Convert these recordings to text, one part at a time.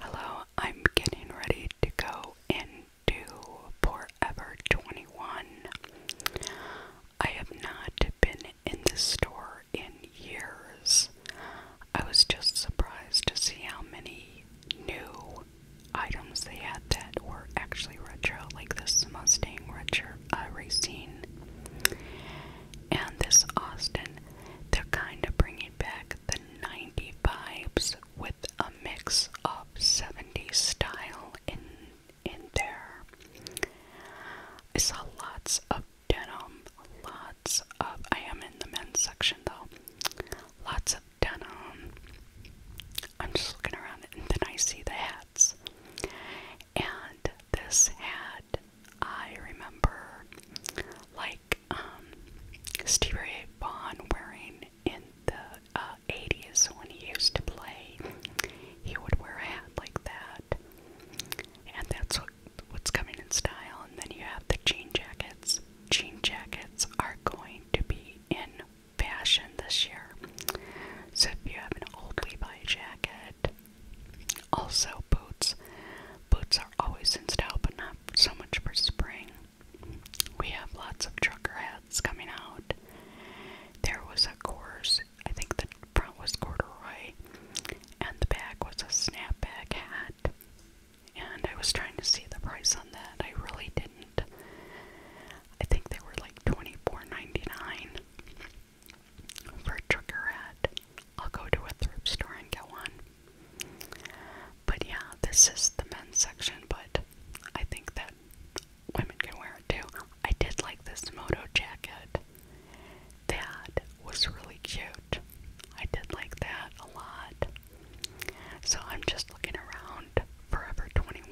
Hello, I'm getting ready to go into Forever 21. I have not been in this store in years. I was just surprised to see how many new items they had that were actually retro, like this Mustang retro uh, And this Austin, they're kind of bringing back the 90 vibes with a mix of 70 style in in there. I saw lots of denim, lots of I am in the men's section though. Lots of denim. I'm just looking around and then I see the hats. And this hat, I remember like um, Stevie Ray Vaughan wearing in the uh, 80s when he used to play. He would wear a hat like that, and that's what, what's coming in style. And then you have the jean jackets. Jean jackets are going to be in fashion this year. So if you have an old Levi jacket, also boots, Boots are always in style, but not so much for spring. We have lots of trucker hats coming out. There was a course, I think the front was corduroy, and the back was a snapback hat. And I was trying to see the price on that. I really didn't. I think they were like $24.99 for a trucker hat. I'll go to a thrift store and get one. But yeah, this is the men's section, but I think that women can wear it too. I did like this moto jacket. That was really cute. I did like that a lot. So I'm just looking around Forever 21.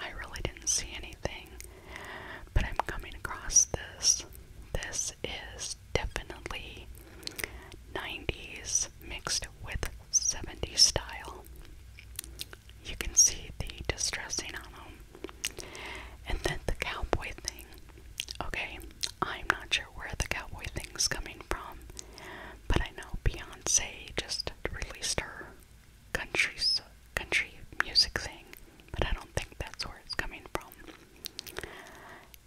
I really didn't see anything. But I'm coming across this this is definitely 90s mixed with 70s style. You can see the distressing on them. And then the cowboy thing. Okay, I'm not sure where the cowboy thing's coming from, but I know Beyonce just released her country, country music thing, but I don't think that's where it's coming from.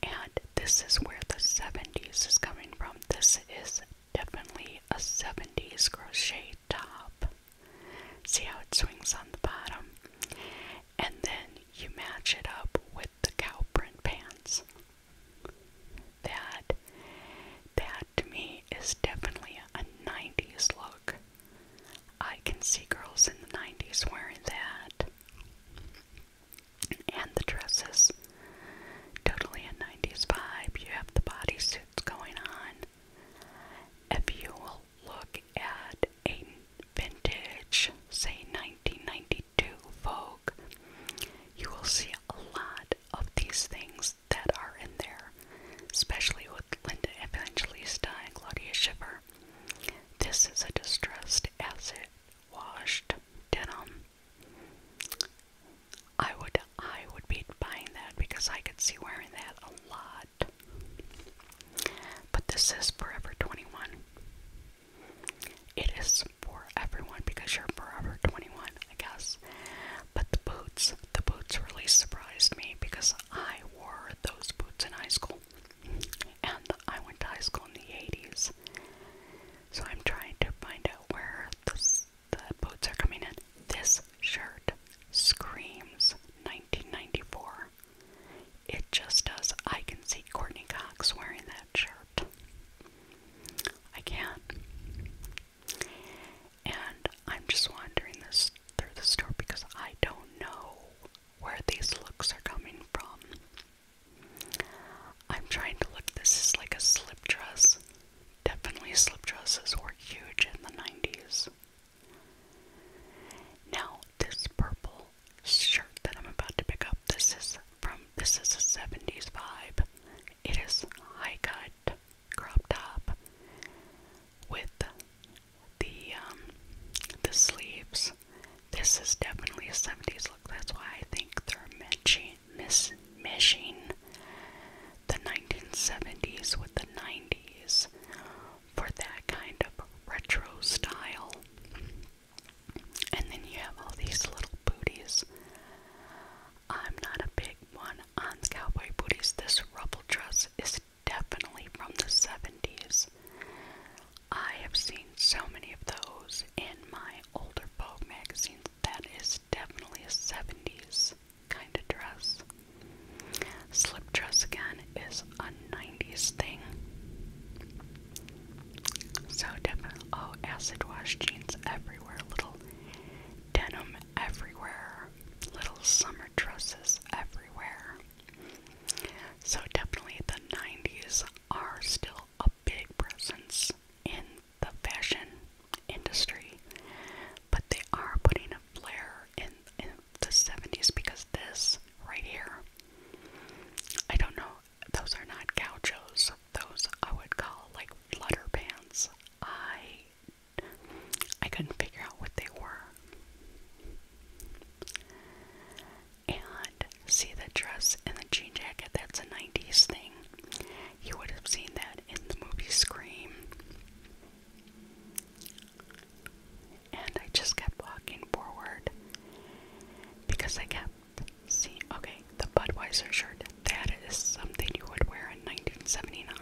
And this is where the 70s is coming from. This is definitely a 70s crochet top. See how it swings on the bottom? And then you match it up with the cow print pants. That that to me is definitely a 90s look. I can see girls in the 90s wearing that and the dresses. Totally a 90s vibe. You have the bodysuits going on. If you will look at a vintage, say 1992 Vogue, you will see a lot of these things that are in there, especially with Linda Evangelista and Claudia Schiffer. This is a distressed asset washed denim. I would I would be buying that because I could see wearing that a lot. But this is Forever 21. It is for everyone because you're Forever 21, I guess. But the boots, the boots really surprised me because I wore those boots in high school. And I went to high school in the 80s. So I'm trying to find out where this, the boots are coming in. This shirt screams 1994. It just does. I can see Courtney Cox wearing that shirt. I can't. And I'm just wandering this through the store because I don't know where these looks are coming from. I'm trying to look. This is like a slip dress. Definitely slip dresses were huge in the 90s. Now, this purple shirt that I'm about to pick up, this is from this is a 70s vibe. It is high cut crop top with the um the sleeves this is definitely a 70s look. That's why I think they're matching, the 1970s with the 90s for that kind of retro style. And then you have all these little booties. I'm not a big one on the cowboy booties. This rubble dress is definitely from the 70s. I have seen so many of those in my older Vogue magazines. That is definitely a 70s kind of dress. Slip dress again is a 90s thing. So definitely, oh, acid wash jeans everywhere, little denim everywhere, little summer dresses everywhere. So definitely the 90s are still up big presence in the fashion industry, but they are putting a flair in, in the 70s because this right here, I don't know, those are not gauchos, those I would call like flutter pants. I I couldn't figure out what they were and see the dress and the jean jacket. That's a 90s thing. You would have seen that in the movie Scream. And I just kept walking forward because I kept seeing. Okay, the Budweiser shirt. That is something you would wear in 1979.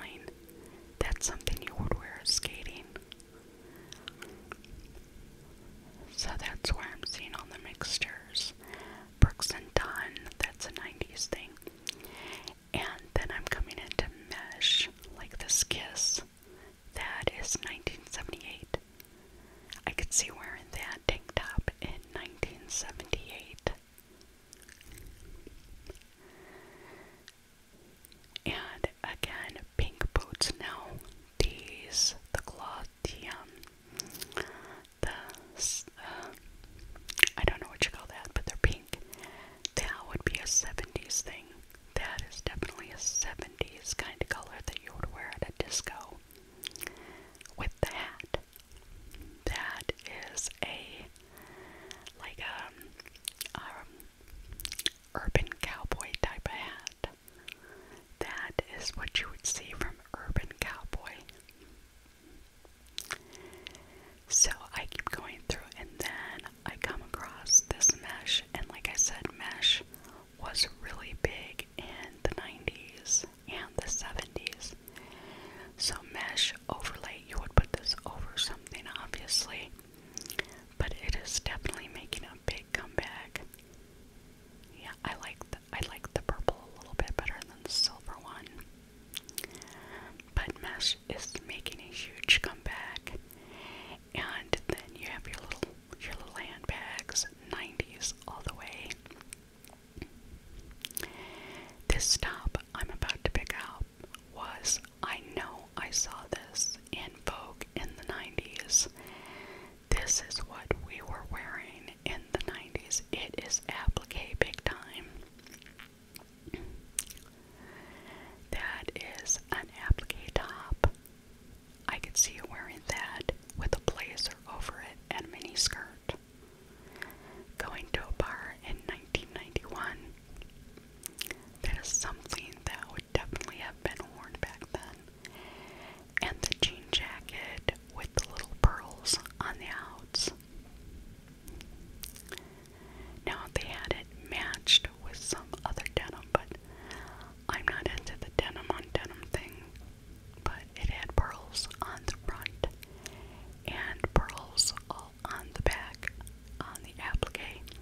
That's something you would wear skating. So that's where I'm seeing all the mixtures. Brooks and Dunn, that's a 90s thing. And then I'm coming into mesh, like this kiss. That is 1978. I could see wearing that tank top in 1978. And again, pink boots now these, the glottium, the, um, uh, I don't know what you call that, but they're pink. That would be a 70s thing. That is definitely a 70s kind of color that you would wear at a disco. With the hat. That is a, like a, um, um, urban cowboy type of hat. That is what you would see from Urban Cowboy. So I keep going through, and then I come across this mesh. And like I said, mesh was really big in the 90s and the 70s. So, mesh overlay, you would put this over something, obviously, but it is definitely making a big comeback. Yeah, I like I like the purple a little bit better than the silver one. But mesh is making a huge comeback. And then you have your little your little handbags, 90s all the way. This stop I'm about to pick up was I know I saw this in Vogue in the 90s. This is what we were wearing in the 90s. It is applique big time. That is an applique top. I could see you wearing that with a blazer over it and a mini skirt. Going to a bar in 1991. That is something that would definitely have been worn back then and the jean jacket with the little pearls on the outs. Now they had it matched with some other denim, but I'm not into the denim on denim thing. But it had pearls on the front and pearls all on the back on the applique.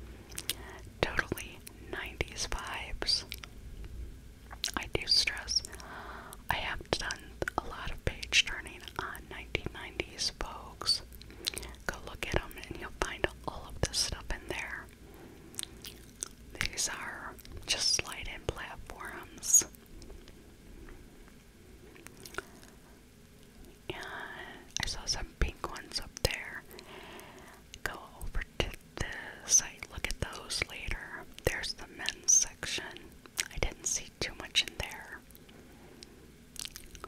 Totally 90s vibes. I do stress I have done a lot of page turning on 1990s Vogues. Go look at them and you'll find all of this stuff in there. These are just slide in platforms. And I saw some pink ones up there. Go over to this. I look at those later. There's the men's section. I didn't see too much in there.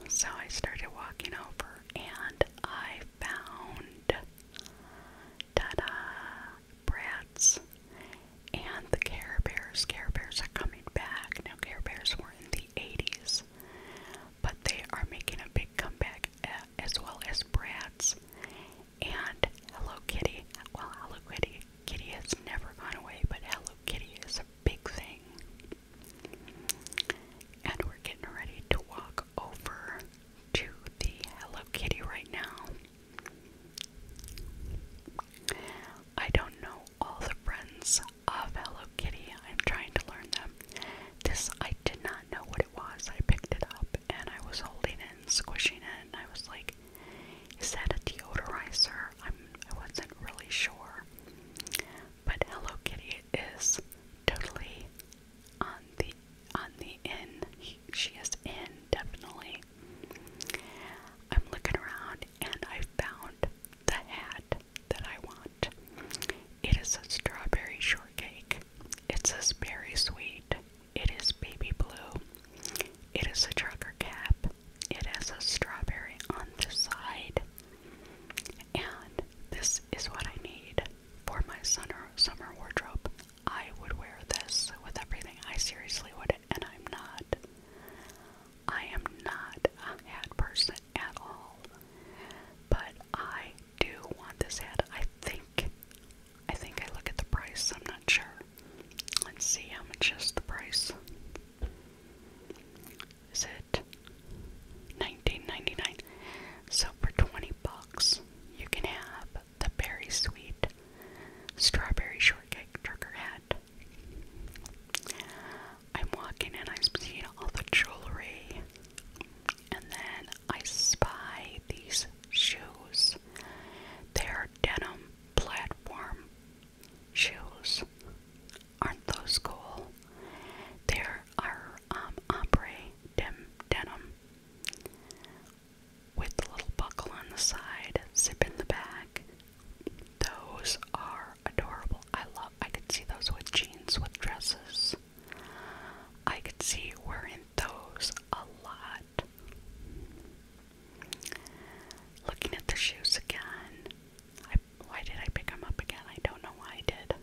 So I started walking over and I found ta Bratz and the Care Bears. Care Bears are coming back. Now, Care Bears were in the 80s, but they are making a big comeback eh, as well as Bratz and Hello Kitty. Well, Hello Kitty, Kitty has never gone away, but Hello Kitty is a big thing. And we're getting ready to walk over to the Hello Kitty right now. I don't know all the friends of Hello Kitty. I'm trying to learn them. This I did not know what was. I picked it up and I was holding it and squishing it, and I was like, "Is that a deodorizer?" I'm I was not really sure. But Hello Kitty is totally on the on the in. She is in definitely. I'm looking around and I found the hat that I want. It is a strawberry shortcake. It's says berry sweet it is baby blue. It is a trucker cap. It has a strawberry on the side. And this is what I need for my summer summer wardrobe. I would wear this with everything. I seriously would, and I'm not. I am not a hat person at all. But I do want this hat. I think I think I look at the price, I'm not sure. Let's see how much is the price. Is it $19.99? So for 20 bucks, you can have the berry sweet strawberry shortcake trucker hat. I'm walking and I'm seeing all the jewelry, and then I spy these shoes. They are denim platform shoes. Aren't those cool? There are um, ombre dim denim with a little buckle on the side, zip in the back. Those are adorable. I love. I could see those with jeans, with dresses. I could see wearing those a lot. Looking at the shoes again. I, why did I pick them up again? I don't know why I did.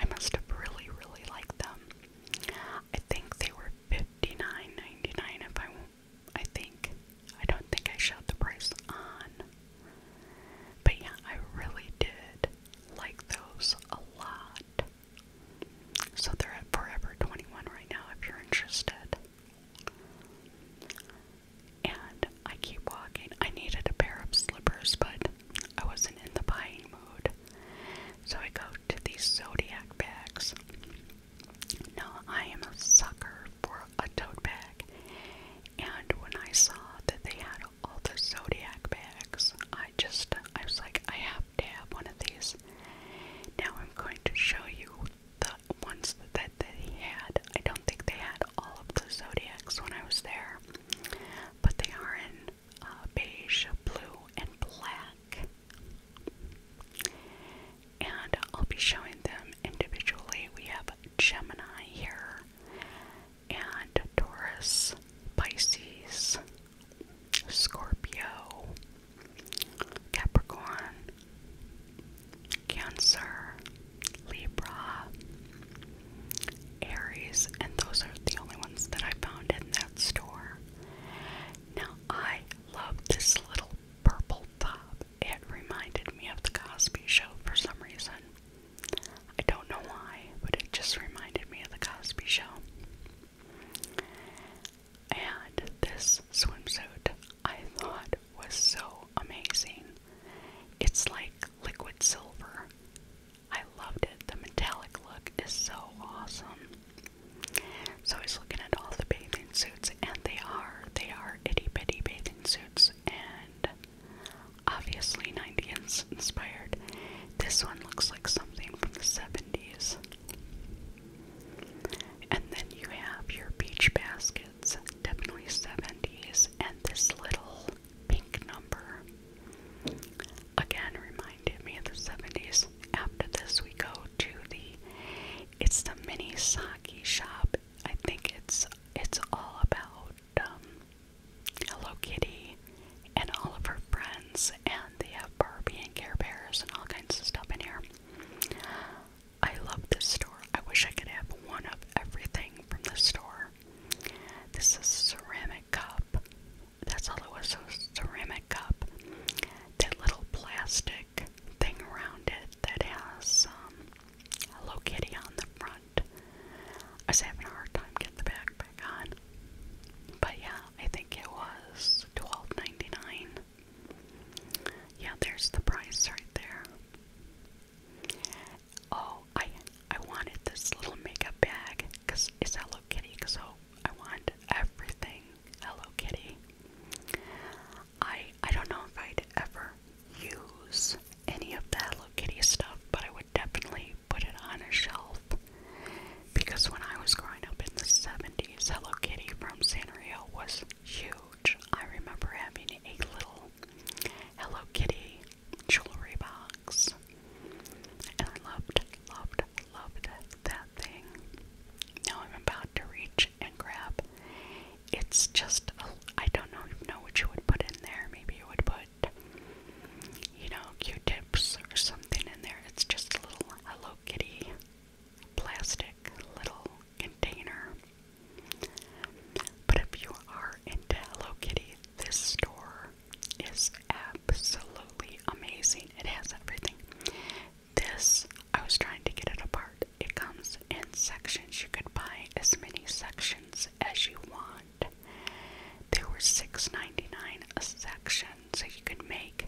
I must have really, really liked them. I think they were fifty nine ninety nine. If I, I think, I don't think I shot the price on. But yeah, I really did like those a lot. So they're at Forever 21 right now if you're interested. And I keep walking. I needed a pair of slippers, but I wasn't in the buying mood. So I go to these Zodiac bags. Now, I am a sucker for a tote bag. And when I saw that they had all the Zodiac bags, I just, I was like, I have to have one of these. Now I'm going to show you the ones that they had. I don't think they had all of the zodiacs when I was there, but they are in uh, beige, blue, and black. And I'll be showing them individually. We have Gemini here, and Taurus, Pisces, Scorpio, Capricorn, Cancer, Libra, Aries, and those are the only ones that I found in that store. Now, I love this little purple top. It reminded me of the Cosby Show for some reason. I don't know why, but it just reminded me of the Cosby Show. And this swimsuit I thought was so amazing. It's like liquid silver. I loved it. The metallic look is so awesome. So he's looking at all the bathing suits, and they are they are itty bitty bathing suits, and obviously 90s inspired. This one looks like something from the 70s. And then you have your beach baskets, definitely 70s, and this little pink number. Again, reminded me of the 70s. After this, we go to the, it's the mini sake shop. I think it's, it's all about um, Hello Kitty Barbie and all of her friends, and they have Barbie and Care Bears and all kinds of stuff in here. I love this store. I wish I could have one of everything from this store. This is a ceramic cup. That's all it was, a ceramic cup. That little plastic thing around it that has um, Hello Kitty on the front. I was having a hard time getting the backpack on. But yeah, I think it was $12.99. Yeah, there's the price right there. Oh, I I wanted this little makeup bag because it's Hello Kitty, so I want everything Hello Kitty. I I don't know if I'd ever use any of the Hello Kitty stuff, but I would definitely put it on a shelf because when I was growing up in the 70s, Hello Kitty from Sanrio was huge. I remember having a little Hello Kitty jewelry box. And I loved, loved, loved that thing. Now I'm about to reach and grab. It's just, I I don't know, know what you would put in there. Maybe you would put you know, Q-tips or something in there. It's just a little Hello Kitty plastic little container. But if you are into Hello Kitty, this store is absolutely amazing. It has everything. This, I was trying to get it apart. It comes in sections. You could buy as many sections as you want. They were $6.99 a section so you could make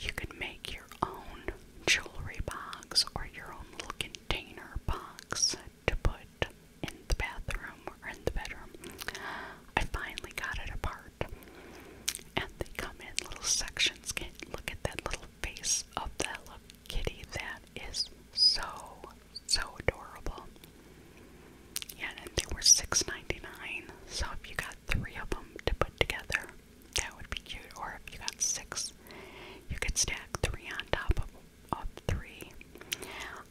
you could make your own jewelry box or your own little container box to put in the bathroom or in the bedroom. I finally got it apart. And they come in little sections. Can look at that little face of that little kitty that is so so adorable. Yeah, and they were six ninety nine. So if you got three of them to put together, that would be cute. Or if you got six, you could stack three on top of, of three.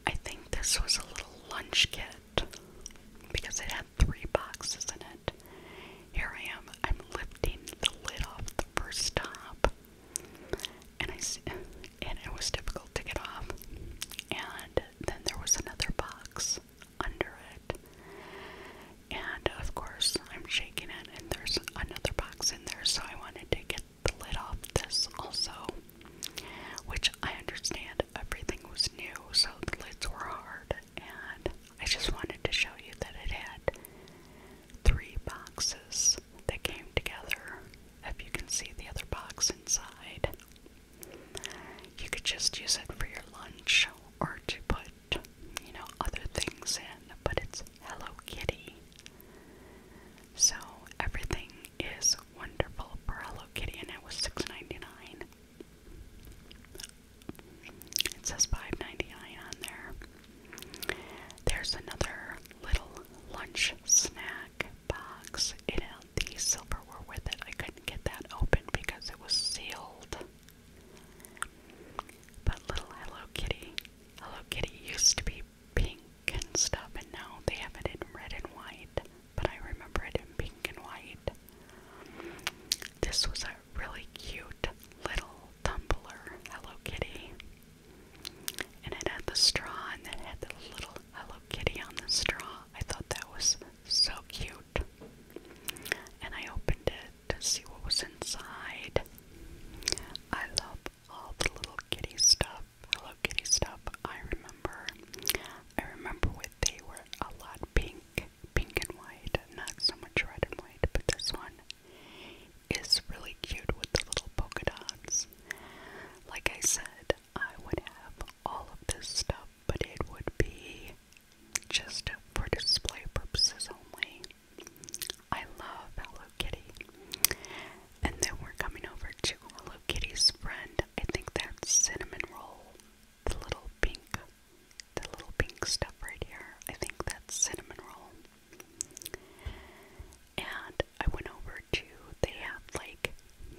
I think this was a little lunch kit because it had three boxes in it. Here I am. I'm lifting the lid off the first top, and I and it was difficult to get off. And then there was another box under it. And of course, I'm shaking it, and there's another box in there, so I wanted to get the lid off this also. Which I understand everything was new, so the lids were hard, and I just wanted to show you that it had three boxes that came together. If you can see the other box inside. You could just use it for your lunch or to put, you know, other things in, but it's Hello Kitty. So everything is wonderful for Hello Kitty and it was $6.99. It says $5.99 on there. There's another little lunch snack box. It found the silverware with it. I couldn't get that open because it was sealed. But little Hello Kitty, Hello Kitty used to be pink and stuff, and now they have it in red and white. But I remember it in pink and white. This was a really cute little tumbler, Hello Kitty. And it had the straw and it had the little Hello Kitty on the straw. I thought that was so cute. And I opened it to see what was inside. I love all the little kitty stuff, Hello Kitty stuff. I remember, I remember what they were a lot pink, pink and white, not so much red and white, but this one is really cute with the little polka dots. Like I said, I would have all of this stuff, but it would be just for display purposes only. I love Hello Kitty. And then we're coming over to Hello Kitty's friend. I think that's cinnamon roll. The little pink, the little pink stuff right here. I think that's cinnamon roll. And I went over to, they have like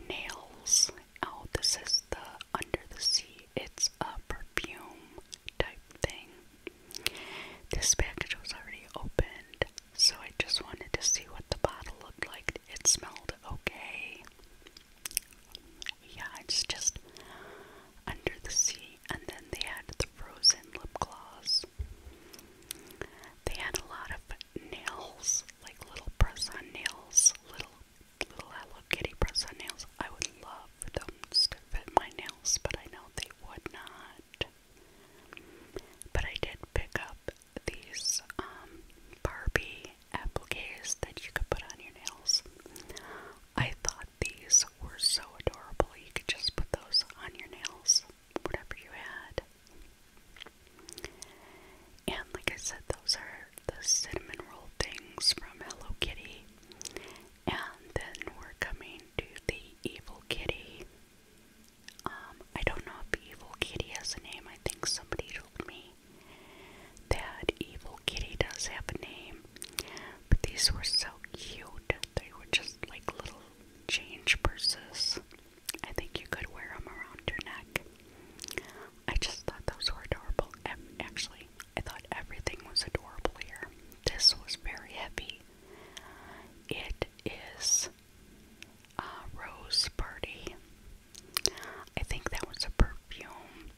nails. Oh, this is the Under the Sea. It's a perfume type thing. This package was already opened, so I just wanted to see what the bottle looked like. It smelled okay. Yeah, it's just Under the Sea, and then they had the frozen lip gloss. They had a lot of nails, like little press on nails, little little Hello Kitty press on nails. I would love for those to fit my nails, but I know they would not. But I did pick up these um, Barbie appliques that you could put on your nails. I thought these were so adorable. You could just put those on your nails, whatever you had. And like I said, those are the cinnamon roll things from Hello Kitty. And then we're coming to the Evil Kitty. Um, I don't know if Evil Kitty has a name. I think somebody told me that Evil Kitty does have a name. But these were so cute. They were just like little change purses. I think you could wear them around your neck. I just thought those were adorable. Actually, I thought everything was adorable here. This was very heavy. It is a Rose Party. I think that was a perfume.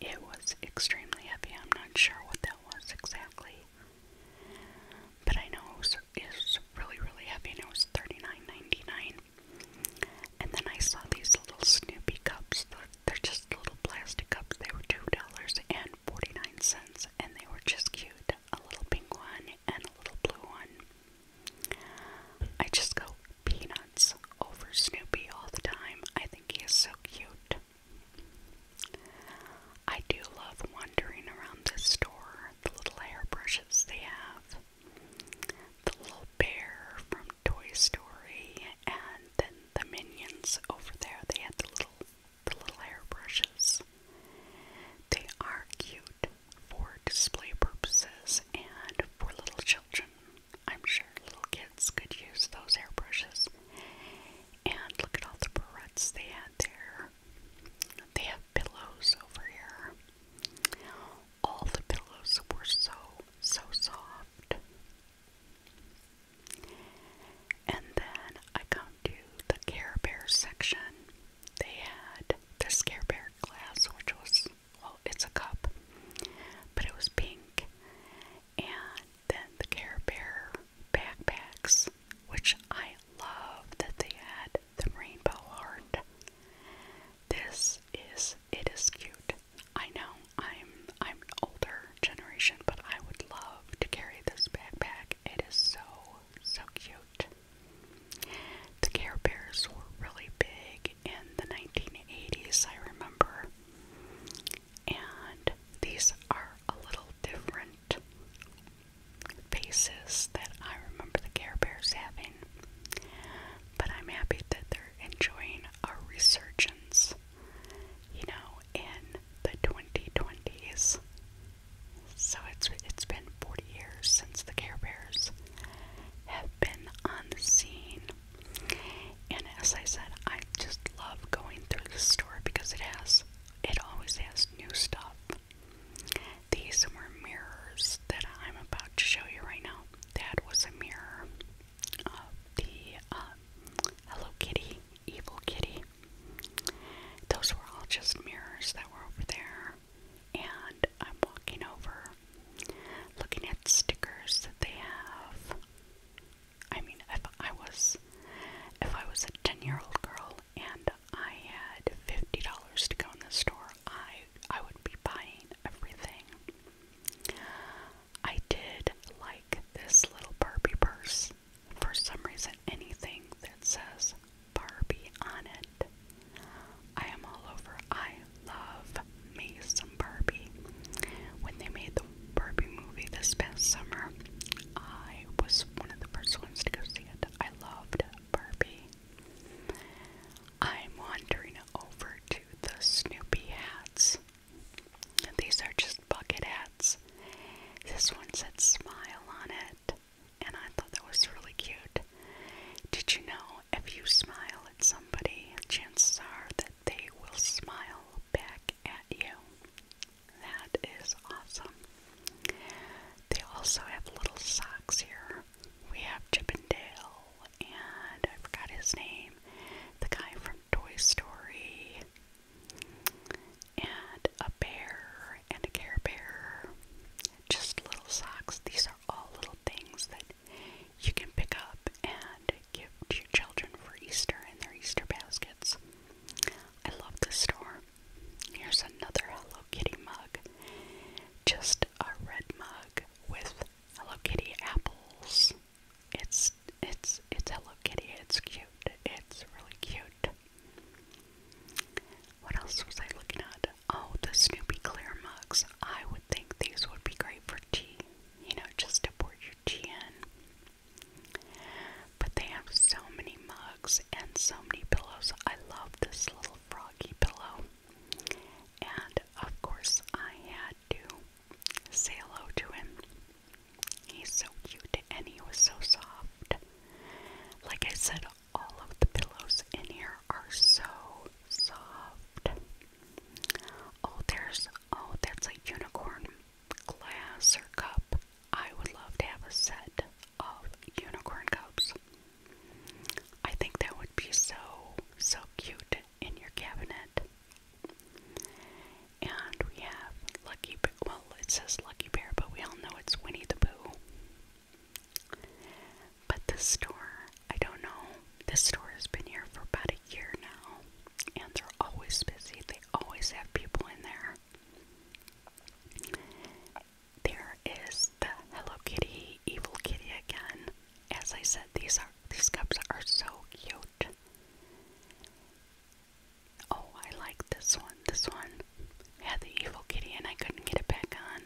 It was extremely heavy. I'm not sure what that was exactly. But I know it was, really, really heavy and it was thirty nine ninety nine. And then I saw these little Snoopy cups. They're, just little plastic cups. They were $2.49 and they were just cute. A little pink one and a little blue one. I just go peanuts over Snoopy all the time. I think he is so cute. I do love wandering around this store, the little hair brushes they have the little bear from Toy Story, and then the minions over there. They had the little the little hairbrushes. They are cute for display purposes and for little children. I'm sure little kids could use those hairbrushes. And look at all the barrettes they had there. They have pillows over here. All the pillows were so, so soft. And then I come to the Care Bear section. They had this Care Bear glass, which was, well, it's a cup, but it was pink. And then the Care Bear backpacks, which I love that they had the rainbow heart. This is it is cute. I know I'm I'm older generation, but I would love to carry this backpack. It is so so cute. The Care Bears were really big in the 1980s, I remember. And these are a little different faces that I remember the Care Bears having. But I'm happy that they're enjoying a resurgence, you know, in the 2020s. So it's it's been 40 years since the Care Bears have been on the scene. And as I said, I just love going through the store because it has it always has new stuff. These were mirrors that I'm about to show you right now that was a mirror of the uh, Hello Kitty, Evil Kitty. Those were all just mirrors that were over there. And I'm walking over, looking at stickers that they have. I mean, if I was, if I was a ten-year-old girl and I had fifty dollars to go in the store, I I would be buying everything. I did like this little Barbie purse. For some reason, anything that says Barbie on it, I am all over. I love me some Barbie. When they made the Barbie movie this past summer, I was one of the first ones to go see it. I loved Barbie. I'm wandering over to the Snoopy hats. These are just bucket hats. This one said smile on it, and I thought that was really cute. Did you know if you smile at somebody, chances are that they will smile back at you? That is awesome. They also have little socks here. We have Chip and Dale, and I forgot his name, the guy from Toy Story, and a bear and a Care Bear. Just little socks. These are all little things that you can pick up and give to your children for Easter in their Easter baskets. I love this store. Here's another Hello Kitty mug. Just a red mug with Hello Kitty apples. It's it's it's Hello Kitty. It's cute. It's really cute. What else was I looking at? Oh, the Snoopy clear mugs. I would think these would be great for tea. You know, just to pour your tea in. But they have so many mugs and so many pillows. I love this little froggy pillow. And of course, I had to say hello to him. He's so cute and he was so soft. Like I said, all of the pillows in here are so soft. Oh, there's, oh, that's a unicorn glass or cup. I would love to have a set of unicorn cups. I think that would be so, so cute in your cabinet. And we have Lucky Well, it says Lucky Bear, but we all know it's Winnie the Pooh. But this store, I don't know. This store has been here for about a year now. And they're always busy, they always have people in there. There is the Hello Kitty Evil Kitty again. As I said, these are these cups are so cute. Oh, I like this one. This one had the Evil Kitty and I couldn't get it back on.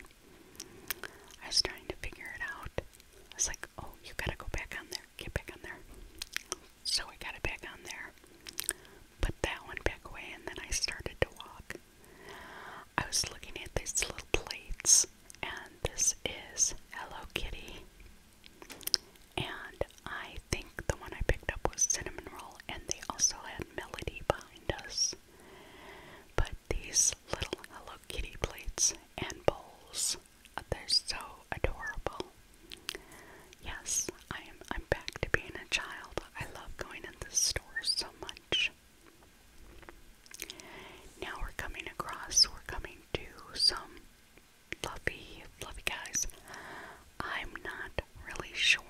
I was trying to figure it out. I was like, oh, you gotta go back on there. Get back on there. So I got it back on there. Put that one back away and then I started to walk. I was looking at these little plates and this is Hello Kitty. And I think the one I picked up was Cinnamon Roll, and they also had Melody behind us. But these little Hello Kitty plates and bowls, uh, they're so adorable. Yes, I am I'm back to being a child. I love going in the store so much. Now we're coming across, we're coming to some fluffy, fluffy guys. I'm not really sure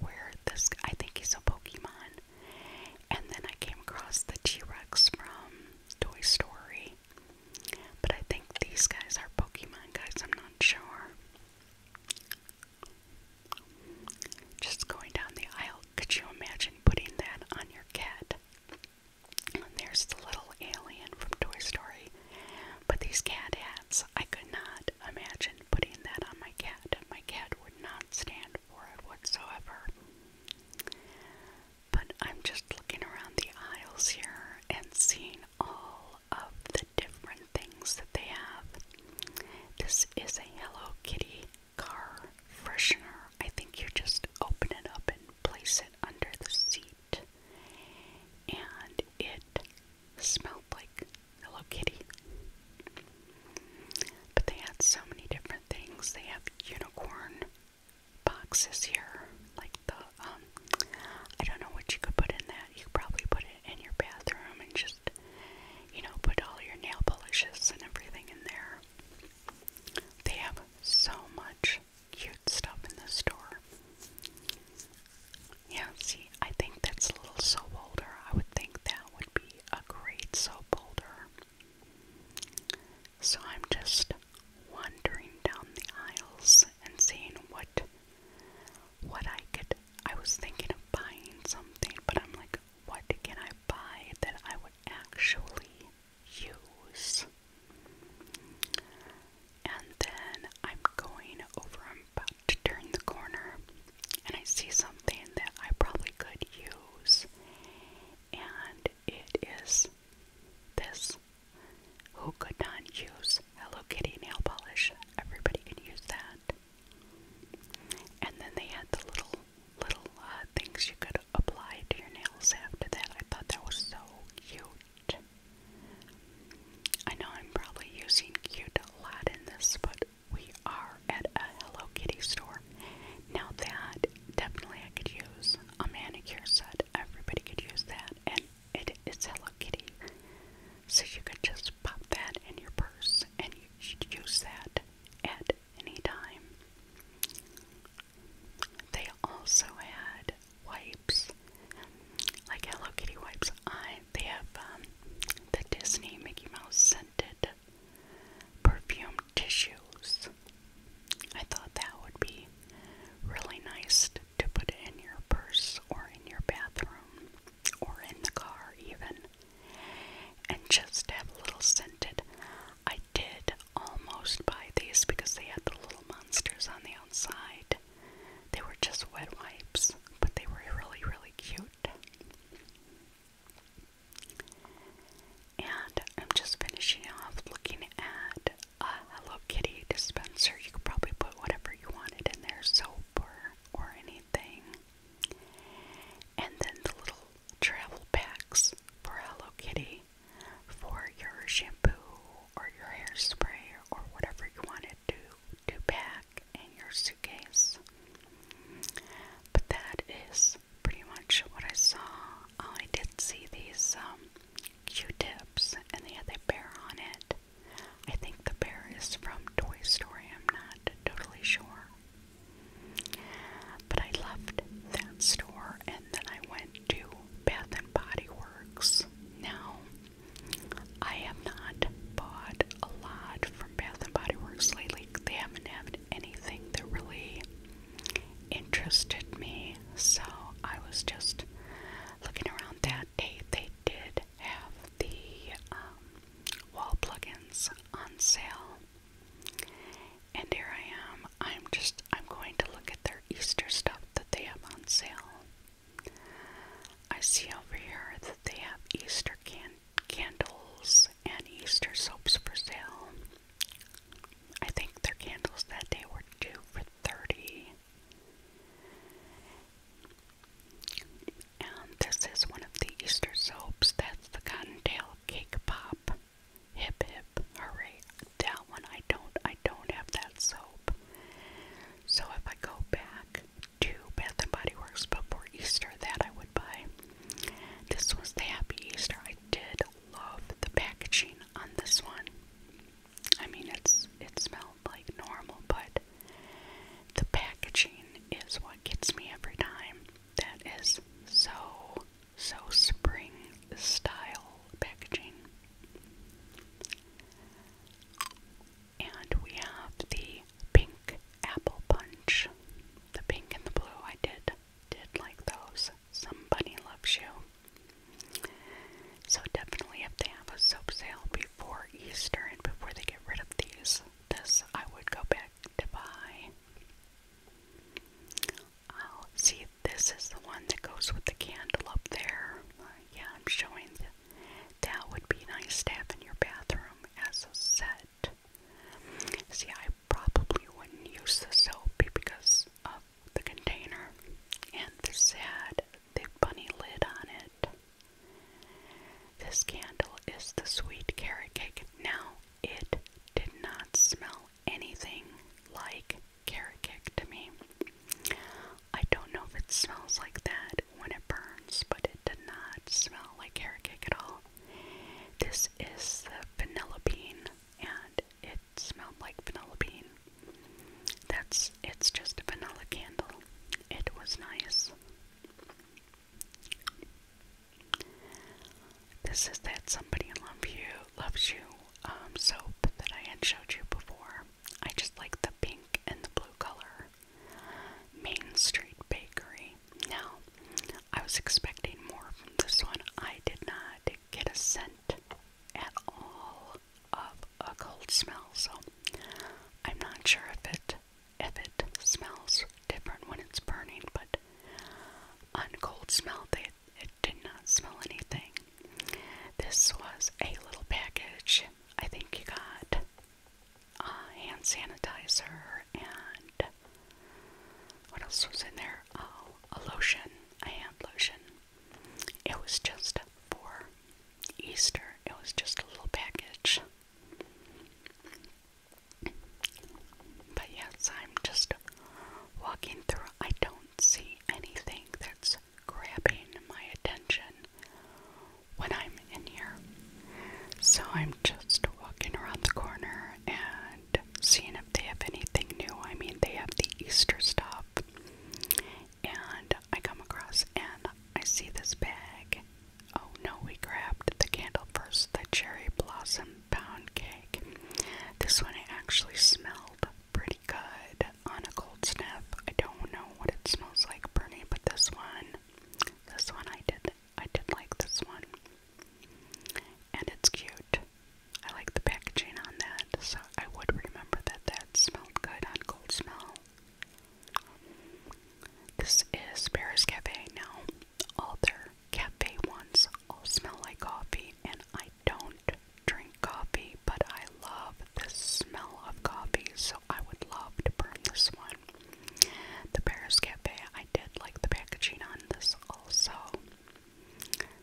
where this, I think he's a Pokemon. And then I came across the T-Rex from Toy Story. But I think these guys are Pokemon guys, I'm not sure. Just going down the aisle, could you imagine putting that on your cat. And there's the little alien from Toy Story. But these cat hats, I could not imagine putting that on my cat. My cat would not stand for it whatsoever. But I'm just looking around the aisles here and seeing all of the different things that they have. This is a Hello Kitty car freshener. I think you just open it up and place it under the seat. And it smelled like Hello Kitty. But they had so many different things. They have unicorn boxes here, like the um I don't know what you could put in that. You could probably put it in your bathroom and just you know, put all your nail polishes and everything in there. They have so much cute stuff in this store. Yeah, see, I think that's a little soap holder. I would think that would be a great soap holder. So I'm just wandering down the aisles and seeing what what I could I was thinking of buying something, but I'm like, what can I buy that I would actually use. And then I'm going over, I'm about to turn the corner, and I see something that I probably could use, and it is this. Who could not use Hello Kitty nail polish? Everybody can use that. And then they had the little little uh, things you could apply to your nails after that. I thought that was so cute. I know I'm probably using cute a lot in this, but we are at a Hello Kitty store. Now that definitely I could use a manicure set. Everybody could use that, and it is Hello Kitty. So you could just pop that in your purse and you should use that at at They also had wipes, like Hello Kitty wipes. I they have um, the Disney Mickey Mouse scented perfume tissues. I thought that would be really nice to put in your purse or in your bathroom or in the car even and just have a little scented. I did almost buy these because they had the little monsters on the outside. They were just wet wipes, but they were really, really cute. And I'm just finishing off looking at a Hello Kitty dispenser. You could probably put whatever you wanted in there soap or, or anything. And then the little travel packs for Hello Kitty for your shampoo or your hairspray or whatever you want to, do, to pack in your suitcase. But that is pretty much what I saw. Oh, I did see these um, Q-tips and they had a bear on it. I think the bear is from Toy Story. I'm not totally sure. But I left that store and then I went to Bath and Body Works. Now, I have not bought a lot from Bath and Body Works lately. They haven't had anything that really interested me, so I was just looking around that day. They did have the um, wall plugins on sale, and here I am. I'm just I'm going to look at their Easter stuff that they have on sale. I see over here that they have Easter can candles and Easter soaps for sale. I think their candles that day were two for 30. And this is one of the Easter soaps. That's the Cottontail Cake Pop. Hip hip, hooray. That one I don't I don't have that soap. So if I go back to Bath and Body Works before Easter, that I would buy. This was the Happy Easter. I did love the packaging on this one. I mean it's it smelled like normal, but the packaging is what gets me every time. That is so so, spring style packaging. And we have the pink apple punch. The pink and the blue, I did did like those. Somebody loves you. So definitely, if they have a soap sale before Easter and before they get rid of these, this I would go back to buy. Oh, see, this is the one that goes with the candle up there. Uh, yeah, I'm showing that would be nice to have in your bathroom as a set. See, I probably wouldn't use the soap because of the container and this had the bunny lid on it. This candle is the sweet carrot cake. Now, it did not smell anything like carrot cake to me. I don't know if it smells like that when it burns, but it did not smell like carrot cake at all. This is the vanilla bean, and it smelled like vanilla bean. That's it's just a vanilla candle. It was nice. This is that somebody love you loves you um, soap that I had showed you before. I just like the pink and the blue color. Main Street Bakery. Now, I was expecting more from this one. I did not get a scent at all of a cold smell, so I'm not sure if it if it smells different when it's burning, but it. On cold smell, they, it did not smell anything. This was a little package. I think you got uh, hand sanitizer and what else was in there? Oh, a lotion, a hand lotion. It was just for Easter. It was just a little package. But yes, I'm just walking through. I don't see anything that's grabbing my attention when I'm in here. So I'm just walking around the corner and seeing if they have anything new. I mean, they have the Easter stuff. And I come across and I see this bag. Oh no, we grabbed the candle first, the cherry blossom pound cake. This one it actually smelled pretty good on a cold sniff. I don't know what it smells like burning, but this one, this one I did, I did like this one, and it's cute. I like the packaging on that, so I would remember that that smelled good on cold smell. This is Paris Cafe now. All their cafe ones all smell like coffee, and I don't drink coffee, but I love the smell of coffee, so I would love to burn this one. The Paris Cafe, I did like the packaging on this also,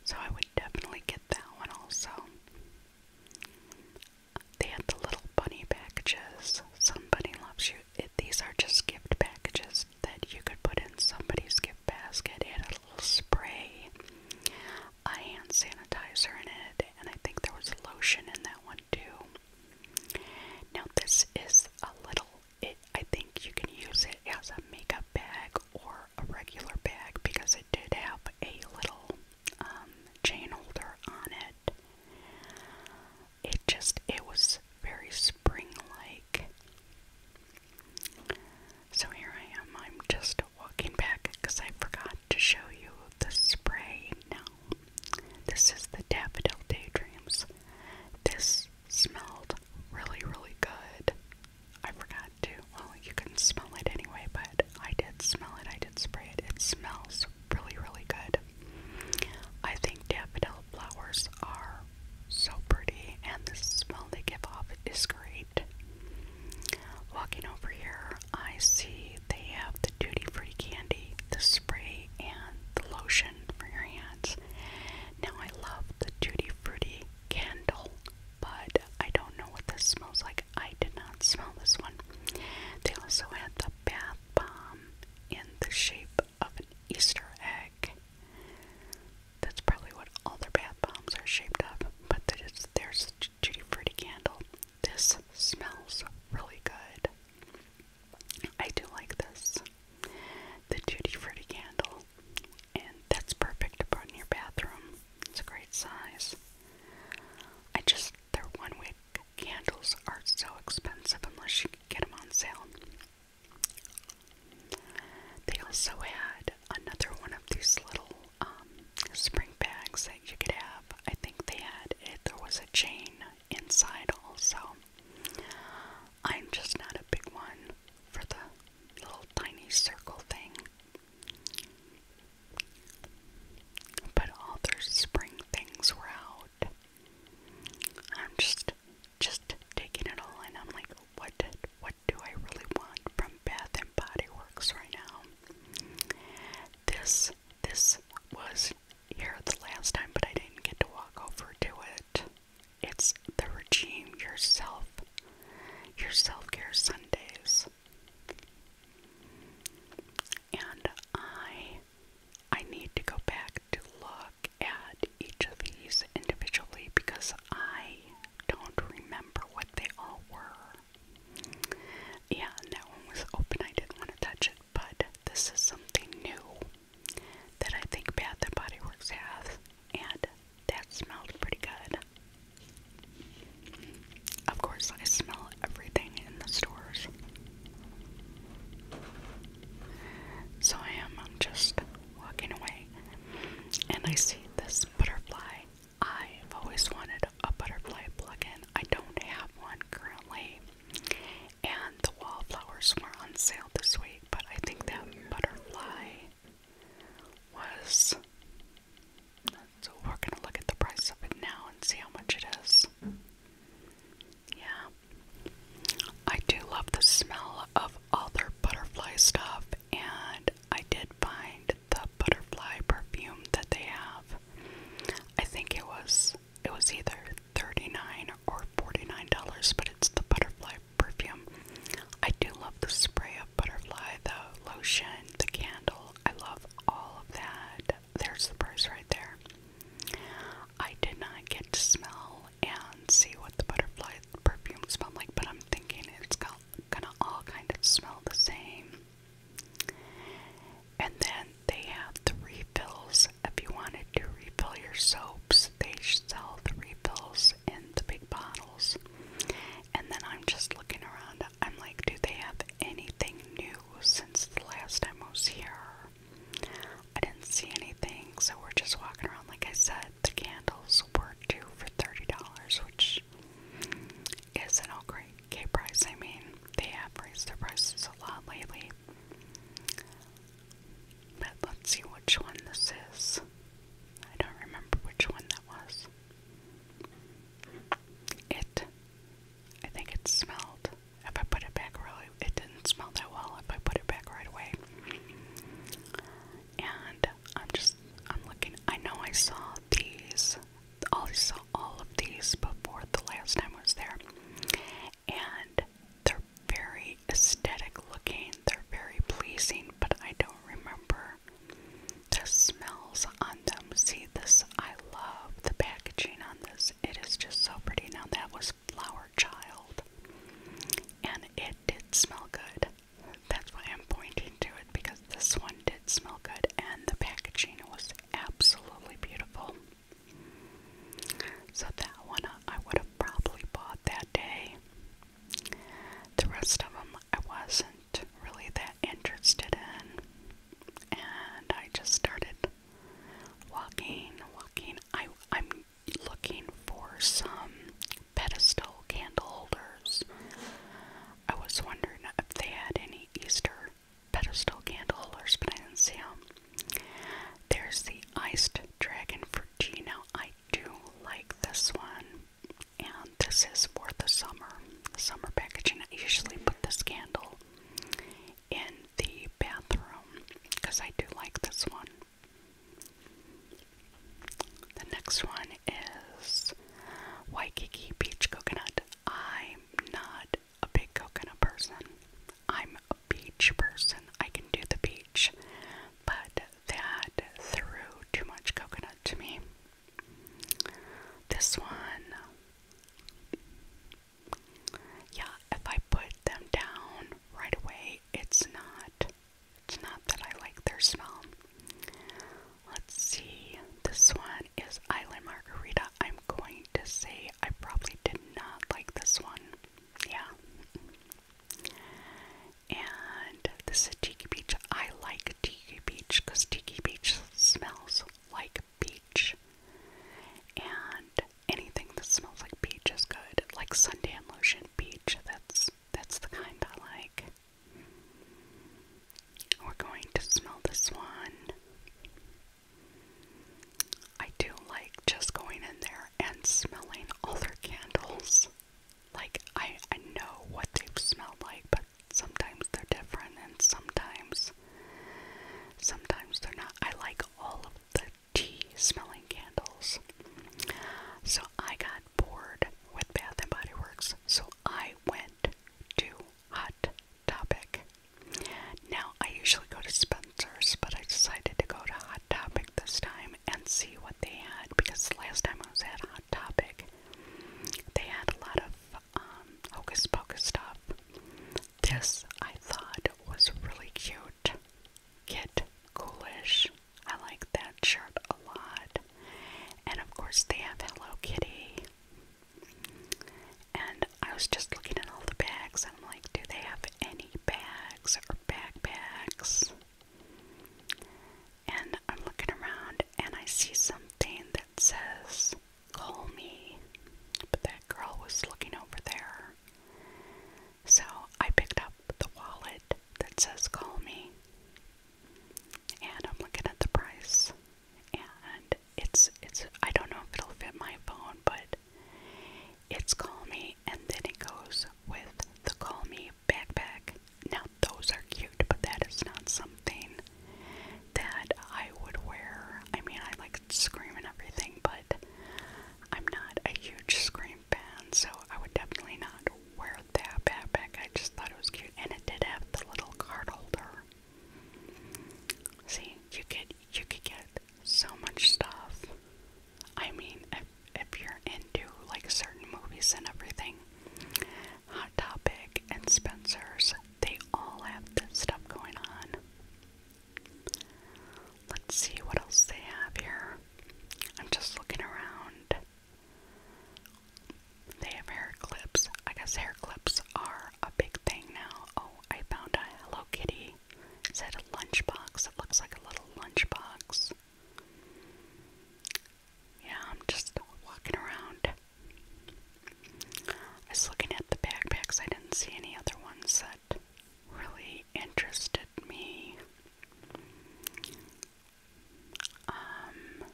so I would definitely get that one also. They had the little bunny packages. Somebody loves you these are just gift packages that you could put in somebody's gift basket. It had a little spray, a hand sanitizer in it, and I think there was lotion in that one too. Now this is a little. It, I think you can use it as a makeup bag or a regular bag because it did have a little um, chain holder on it. It just, it was very spring like. So here I am, I'm just walking back because I forgot to show you the spray. Now, this is the Daffodil Daydreams. This smelled really, really good. I forgot to, well, you can smell it anyway, but I did smell it, I did spray it. It smells really, really good. I think Daffodil flowers are so pretty, and the smell they give off is great. Walking over here, I see they have the duty free candy, the spray, and the lotion for your hands. Now, I love the Duty free candle, but I don't know what this smells like. I did not smell this one. They also had the bath bomb in the shape of an Easter egg. That's probably what all their bath bombs are shaped up. But there's, there's the Fritty candle. This smells really good. I do like this. The Tutti Fritty candle. And that's perfect to put in your bathroom. It's a great size. I just, their one wick candles are so expensive unless you get them on sale. They also had another one of these little um, spring bags that you could have. I think they had it, there was a chain inside also. I'm just not a big one for the little tiny circle thing. But all their spring things were out. I'm just just taking it all in. I'm like, what what do I really want from Bath and Body Works right now? This this was here the last time, but I didn't get to walk over to it. It's the regime yourself, your self care Sundays, and I I need to go back to look at each of these individually because I don't remember what they all were. Yeah, that one was open. I didn't want to touch it, but this is something new that I think Bath and Body Works has, and that smelled pretty good. Of course, I smell everything in the stores. So I am just walking away, and I see this butterfly. I've always wanted a butterfly plug-in. I don't have one currently, and the wallflowers were on sale this week, but I think that butterfly was. So we're gonna look at the price of it now and see how much it is. Yeah, I do love the smell of other butterfly stuff, and I did find the butterfly perfume that they have. I think it was it was either $39 or $49, but it's the butterfly perfume. I do love the spray of butterfly, the lotion, the candle. I love all of that. There's the price right there. I did not get to smell and see what the butterfly perfume smell like, but I'm thinking it's gonna all kind of smell the same. And then they have the refills. If you wanted to refill your soaps, they sell the refills in the big bottles. And then I'm just looking around. I'm like, do they have anything new since the last time I was here? I didn't see anything, so we're just walking around, like I said the candles were two for $30, which is an okay price. I mean, they have raised their prices a lot lately. But let's see which one this is. I don't remember which one that was. It, I think it smelled. If I put it back really, it didn't smell that well if I put it back right away and I'm just I'm looking. I know I saw these. All I saw all of these before the last time I was there, and they're very aesthetic looking. They're very pleasing, but I don't remember the smells on them. See this? I love the packaging on this. It is just so pretty. Now that was flower child. And it did smell good. That's why I'm pointing to it because this one did smell good and the packaging was absolutely beautiful. So that one I would have probably bought that day. The rest of them I wasn't really that interested in. And I just started walking, walking. I, I'm looking for some pedestal candle holders. I was wondering if they had any Easter pedestal candle holders, but I didn't see them. There's the iced dragon fruit. Now I do like this one, and this is for the summer summer packaging. I usually put this candle in the bathroom because I do like this one. The next one is Waikiki Beach Coconut. I'm not a big coconut person. I'm a beach person. I can do the beach, but that threw too much coconut to me. This one, yeah, if I put them down right away, it's not it's not that I like their smell. Let's see. This one is Island Margarita. I'm going to say I probably did not like this one. Yeah. And this is Tiki Beach. I like Tiki Beach because Tiki Beach smells like beach. And anything that smells like beach is good, like suntan lotion beach. That's that's the kind I like. We're going to smell this one. I do like just going in there and smelling all their candles. Like I I know what they've smelled like, but sometimes they're different and sometimes sometimes they're not. I like all of the tea smelling candles. So I got bored with Bath and Body Works, so I went to Hot Topic. Now I usually go to Spencer's, but I decided to go to Hot Topic this time and see what they had because last time I was at Hot Topic, they had a lot of um, hocus pocus stuff. This I thought was really cute. Kit Coolish I like that shirt a lot. And of course, they have Hello Kitty. And I was just looking at all the bags, and I'm like, do they have any bags or backpacks? And I'm looking around, and I see something that says, Call me. But that girl was looking over there. So I picked up the wallet that says call me. And I'm looking at the price. And it's it's I don't know if it'll fit my phone, but it's call me and then it goes with the call me backpack. Now those are cute, but that is not something that I would wear. I mean I like screaming everything, but I'm not a huge screamer my so I would definitely not wear that backpack. I just thought it was cute, and it did have the little card holder. See, you could you could get so much stuff. I mean, if, if you're into like certain movies and everything, Hot Topic and Spencer's, they all have this stuff going on. Let's see what else they have here. I'm just looking around. They have hair clips. I guess hair clips are a big thing now. Oh, I found a Hello Kitty. It's that a lunchbox? It looks like a little lunchbox. Yeah, I'm just walking around. I was looking at the backpacks. I didn't see any other ones that really interested me. Um,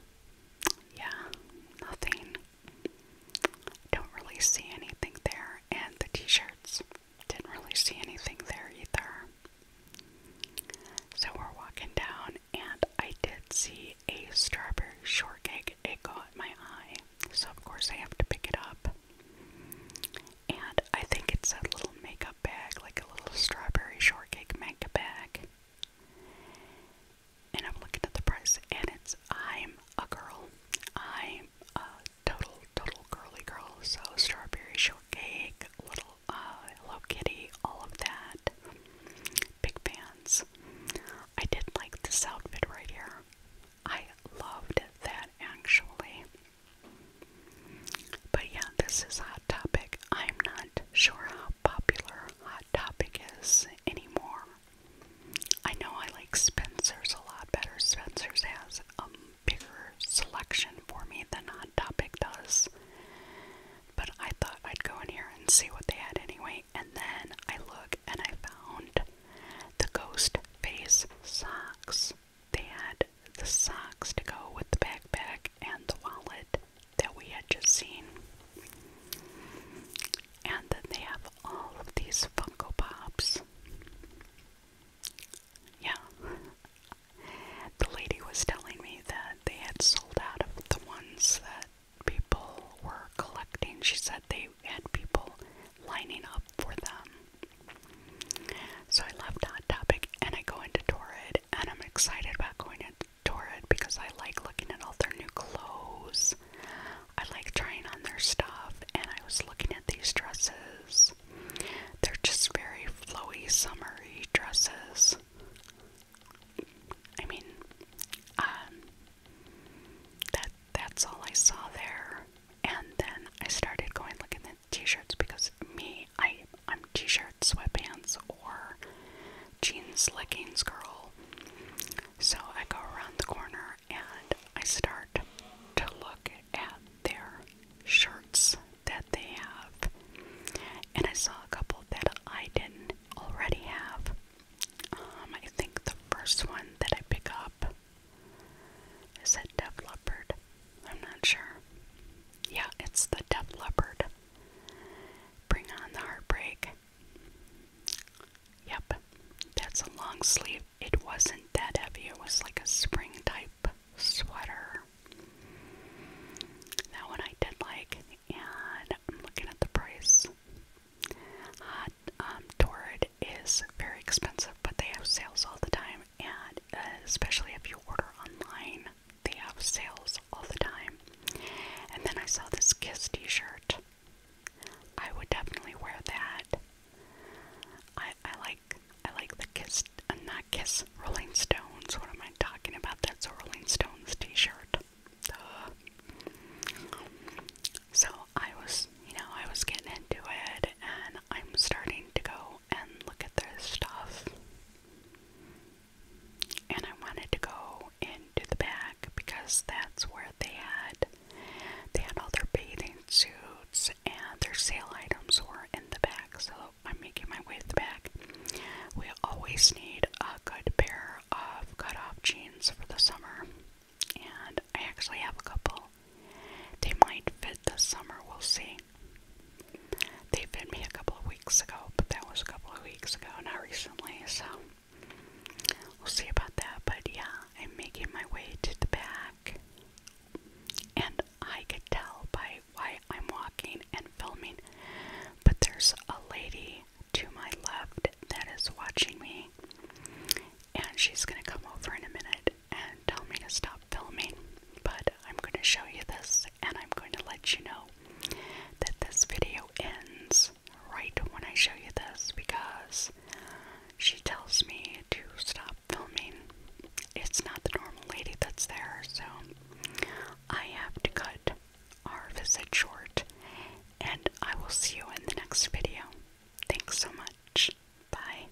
yeah, nothing. Don't really see anything there, and the t shirts. Didn't really see anything there either. So we're walking down, and I did see a strawberry shortcake. It caught my eye, so of course I have to pick it up. And I think it said little makeup bag, like a little strawberry shortcake manga bag. And I'm looking at the price, and it's I'm a girl. I'm a total, total girly girl. So, strawberry shortcake, little uh, Hello Kitty, all of that. Big fans. I did like this outfit right here. I loved that actually. But yeah, this is Hot Topic. I'm not sure how popular Hot Topic is anymore. I know I like Spencer's a lot better. Spencer's has a bigger selection for me than Hot Topic does. But I thought I'd go in here and see what they had anyway. And then I look and I found the Ghost Face socks. They had the socks to go with the backpack and the wallet that we had just seen. And then they have all of these Funko Pops. Yeah. The lady was telling me that they had sold out of the ones that people were collecting. She said they had people lining up for them. So I left that Topic and I go into Torrid, and I'm excited about going to Torrid because I like looking at all their new clothes. I like trying on their stuff, and I was looking at these dresses. They're just very flowy, summery dresses. I mean, um, that that's all I saw there. And then I started going looking at t-shirts because me, I, I'm t-shirt, sweatpants, or jeans, leggings girl. So I go around the corner and I start to look at their shirts that they have. And I saw a couple that I didn't already have. Um, I think the first one that I pick up is a Def Leopard. I'm not sure. Yeah, it's the Death Leopard. Bring on the heartbreak. Yep, that's a long sleeve. It wasn't that heavy, it was like a spring type sweater. That one I did like, and looking at the price. um, Torrid is very expensive, but they have sales all the time, and especially if you order online, they have sales all the time. And then I saw this Kiss t shirt. I would definitely wear that. I, I like I like the Kiss, and uh, not Kiss, Rolling Stones. What am I talking about? That's a Rolling Stones t shirt. So I was, you know, I was getting into it and I'm starting mind to go and look at their stuff. And I wanted to go into the back because that's where they had they had all their bathing suits and their sale items were in the back. So I'm making my way to the back. We always need a good pair of cut-off jeans for the summer. And I actually have a couple. They might fit this summer, we'll see. They fed me a couple of weeks ago, but that was a couple of weeks ago, not recently, so we'll see about that. But yeah, I'm making my way to the back, and I could tell by why I'm walking and filming, but there's a lady to my left that is watching me, and she's gonna come over in a minute and tell me to stop filming, but I'm going to show you this and I'm going to let you know that this video ends right when I show you this because she tells me to stop filming. It's not the normal lady that's there, so I have to cut our visit short, and I will see you in the next video. Thanks so much. Bye.